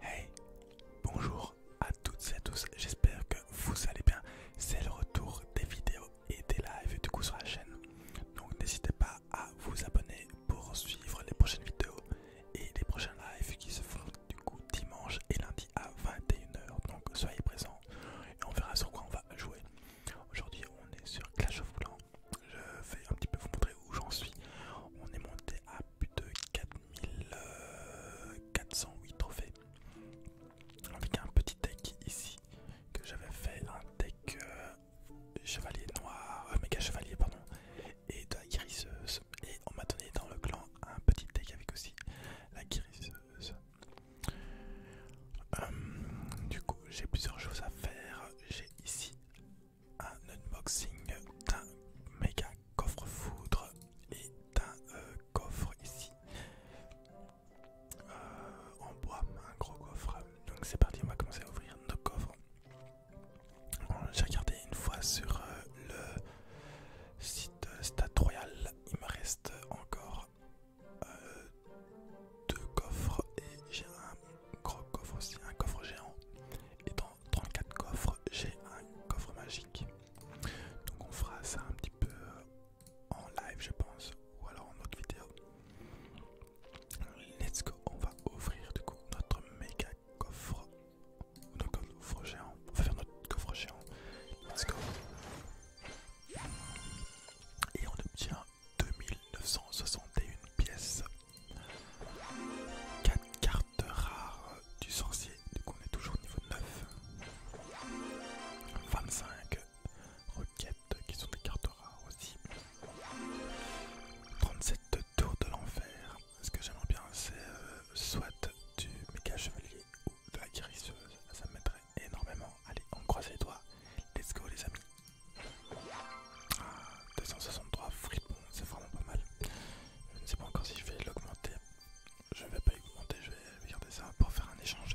Hey, bonjour à toutes et à tous, j'espère que vous allez bien. C'est le retour des vidéos et des lives du coup sur la chaîne. Donc n'hésitez pas à vous abonner pour suivre les prochaines vidéos et les prochains lives qui se font du coup dimanche et lundi à 21h. Donc soyez présents et on verra sur quoi on va jouer. Aujourd'hui on est sur Clash of Clans. Je vais un petit peu vous montrer où j'en suis. On est monté à plus de 4408 euh, trophées avec un petit deck ici que j'avais fait un deck euh, chevalier noir euh, méga chevalier pardon et de la guérisseuse et on m'a donné dans le clan un petit deck avec aussi la guérisseuse du coup j'ai plusieurs choses à faire j'ai ici un unboxing d'un méga coffre-foudre et d'un euh, coffre ici euh, en bois, un gros coffre. Donc c'est parti, on va commencer à ouvrir nos coffres. J'ai regardé une fois sur euh, le site Stat Royal, il me reste encore deux coffres et j'ai un gros coffre aussi, un coffre géant. 34 coffres, j'ai un coffre magique. Donc on fera ça un petit peu euh, en live je pense, ou alors en autre vidéo. Let's go, on va ouvrir du coup notre méga coffre, notre coffre géant, on va faire notre coffre géant. Let's go. Et on obtient 2961 pièces 4 cartes rares du sorcier, du coup on est toujours au niveau 9. 25 requêtes qui sont des cartes rares aussi. 37 tours de l'enfer. Ce que j'aimerais bien c'est euh, soit du méga chevalier ou de la guérisseuse. Ça me mettrait énormément. Allez, on croise les doigts. Let's go les amis. 263 ah, fripons, c'est vraiment pas mal. Je ne sais pas encore si je vais l'augmenter. Je vais pas l'augmenter, je vais garder ça pour faire un échange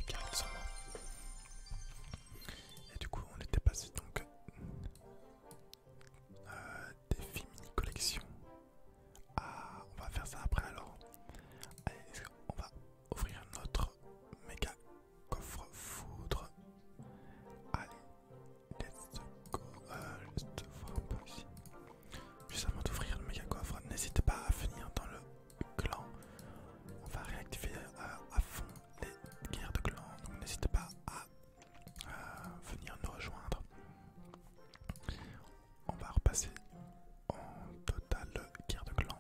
Et du coup, on était passé donc euh, des filles mini collection. Ah, on va faire ça après alors. Allez, on va ouvrir notre méga coffre foudre. Allez, Let's go. juste euh, voir un peu ici. Juste avant d'ouvrir le méga coffre, n'hésitez pas à venir dans le clan. On va réactiver euh, à fond les guerres de clan. Donc n'hésitez pas à euh, venir nous rejoindre. On va repasser en total guerre de clan.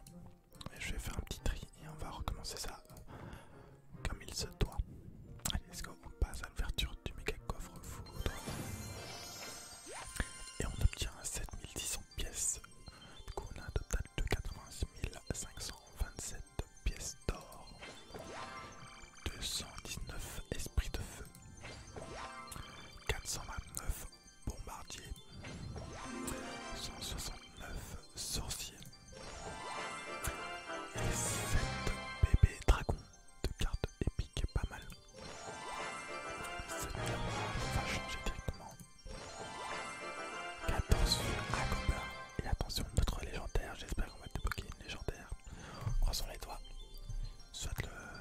Et je vais faire un petit tri et on va recommencer ça comme il se doit. Allez, let's on passe à l'ouverture du méga coffre foudre. Et on obtient 7600 pièces. Du on a un total de 527 pièces d'or. 219 esprits de feu. 429 bombardiers. 169 sorciers. Et 7 bébés dragons de cartes épiques pas mal. Cette va changer directement. Attention à Gobelin. Et attention, notre légendaire. J'espère qu'on va débloquer une légendaire. Croisons les doigts. Soit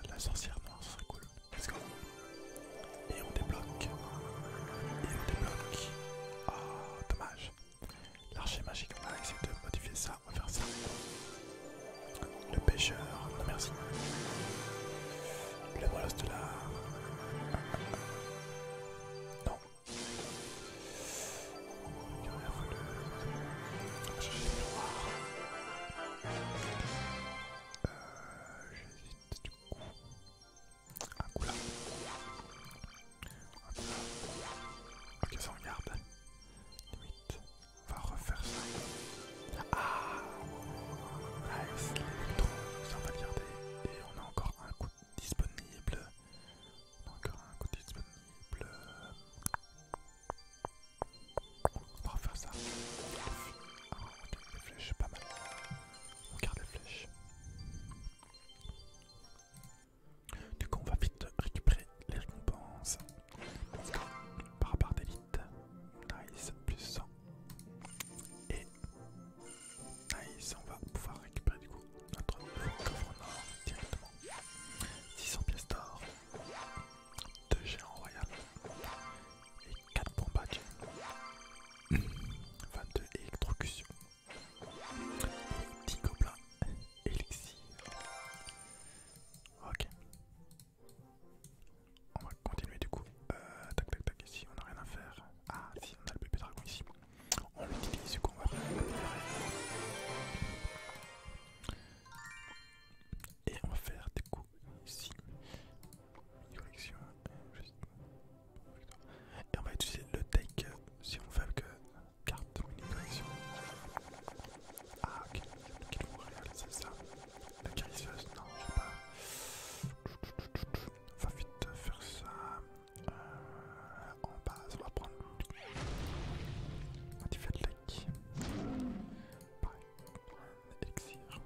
la sorcière noire, ce serait cool. Let's go. Et on débloque. Et on débloque. Ah, dommage. L'archer magique, on va essayer de modifier ça on va faire ça. Le pêcheur, non merci. Le bolos de Non. le euh, J'hésite du coup. Un coup là. Ok, ça on garde. Limite, on va refaire ça. Ah Nice, ça on va garder. Et on a encore un coup disponible. On a encore un coup disponible. On va refaire ça. Ah, les flèches, pas mal. On garde les flèches. Du coup, on va vite récupérer les récompenses. Par rapport d'élite, nice, plus 100. Et nice, on va pouvoir récupérer du coup notre coffre nord directement. 600 pièces d'or, 2 géants royales et 4 bombes 22 électrocutions. Petit Ok. On va continuer du coup. Euh, tac tac tac, ici on n'a rien à faire. Ah si, on a le bébé dragon ici. On l'utilise du coup, on va faire Et on va faire du coup ici. Direction. Euh, Et on va utiliser le take euh, si on veut que carte une Ah ok, qu'ils réaliser ça. le caricieuse, non, je sais pas. Va vite faire ça. Euh, en bas, on va prendre un petit like. Pareil, un elixir.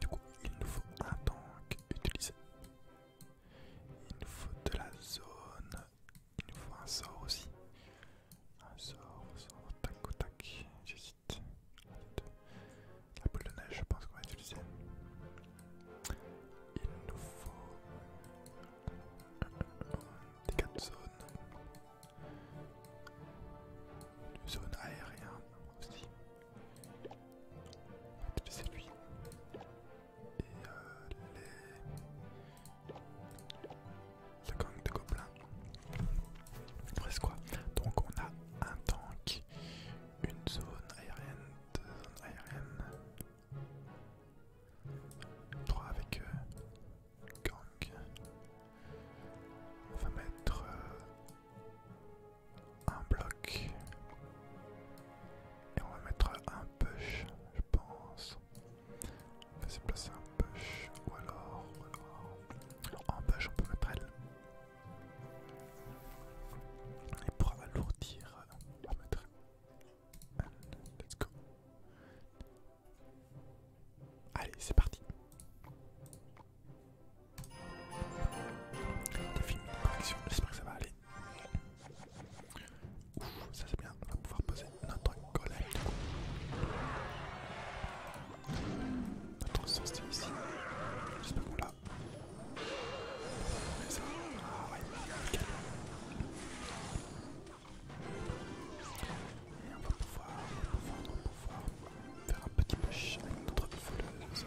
Du coup, il nous faut un tank utilisé. Il nous faut de la zone, il nous faut un sort aussi. Un sort, un sort, tac ou tac, j'hésite. La boule de neige, je pense qu'on va utiliser. Il nous faut des 4 zones. Une zone aérienne aussi. On va utiliser lui et euh, les... gangs gang de gobelins. Presque quoi. Donc on a un tank, une zone aérienne, deux zones trois avec euh, gang. On va mettre euh, un bloc et on va mettre un push, je pense. On va se placer un push, ou alors, ou alors. un push, on peut mettre elle. Et pour alourdir, on va mettre Let's go. Allez, c'est parti. On fini j'espère que ça va aller ça c'est bien, on va pouvoir poser notre golem du coup. Notre sens ici. Juste là. l'a. Ah ouais, on va pouvoir, on va pouvoir, on va pouvoir faire un petit push avec notre voleuse.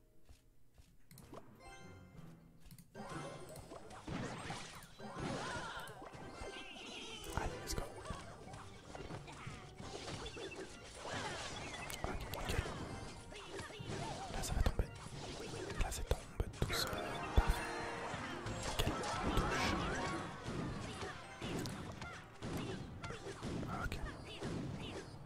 Allez, let's go. Ok, Là, ça va tomber. Là, ça tombe tout seul. Ah, ok.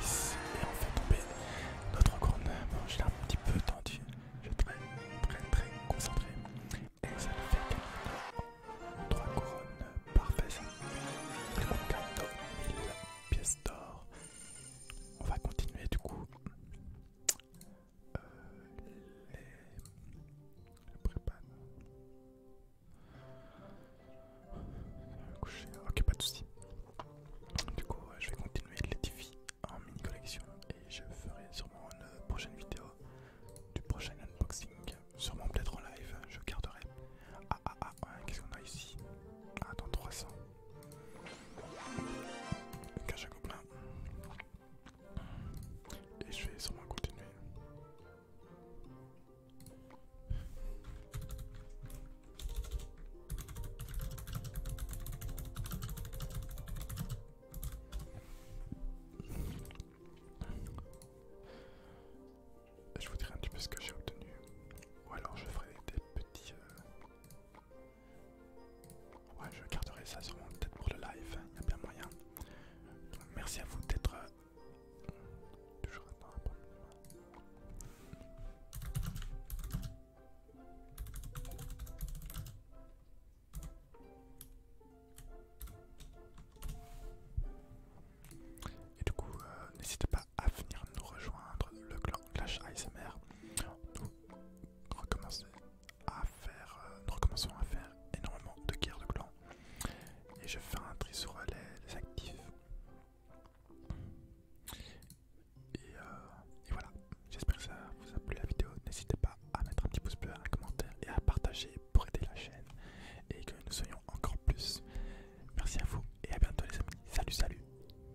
Nice, et on fait tomber notre couronne, Bon, j'ai un petit peu tendu, je très très très concentré. Et ça nous fait 3 couronnes, parfaites, ça. Et on pièces d'or. On va continuer du coup euh, les prépa. Ok, pas de soucis. Du coup, je vais continuer les défis en mini collection et je ferai sûrement une prochaine vidéo du prochain unboxing. Sûrement peut-être en live, je garderai. Ah ah ah, qu'est-ce qu'on a ici Ah, dans 300. Et je vais sûrement continuer. Je vous dirai un petit peu ce que j'ai obtenu. Ou alors je ferai des petits... Euh, Ouais, je garderai ça sûrement peut-être pour le live, il y a bien moyen. merci à vous d'être... Euh, toujours pour nous. Et du coup, euh, n'hésitez pas à venir nous rejoindre le clan Clash ASMR à faire, euh, nous recommençons à faire énormément de guerres de clans. Et je fais un tri sur les, actifs. Et, euh, et voilà, j'espère que ça vous a plu la vidéo. N'hésitez pas à mettre un petit pouce bleu, un commentaire et à partager pour aider la chaîne et que nous soyons encore plus. Merci à vous et à bientôt les amis. Salut, salut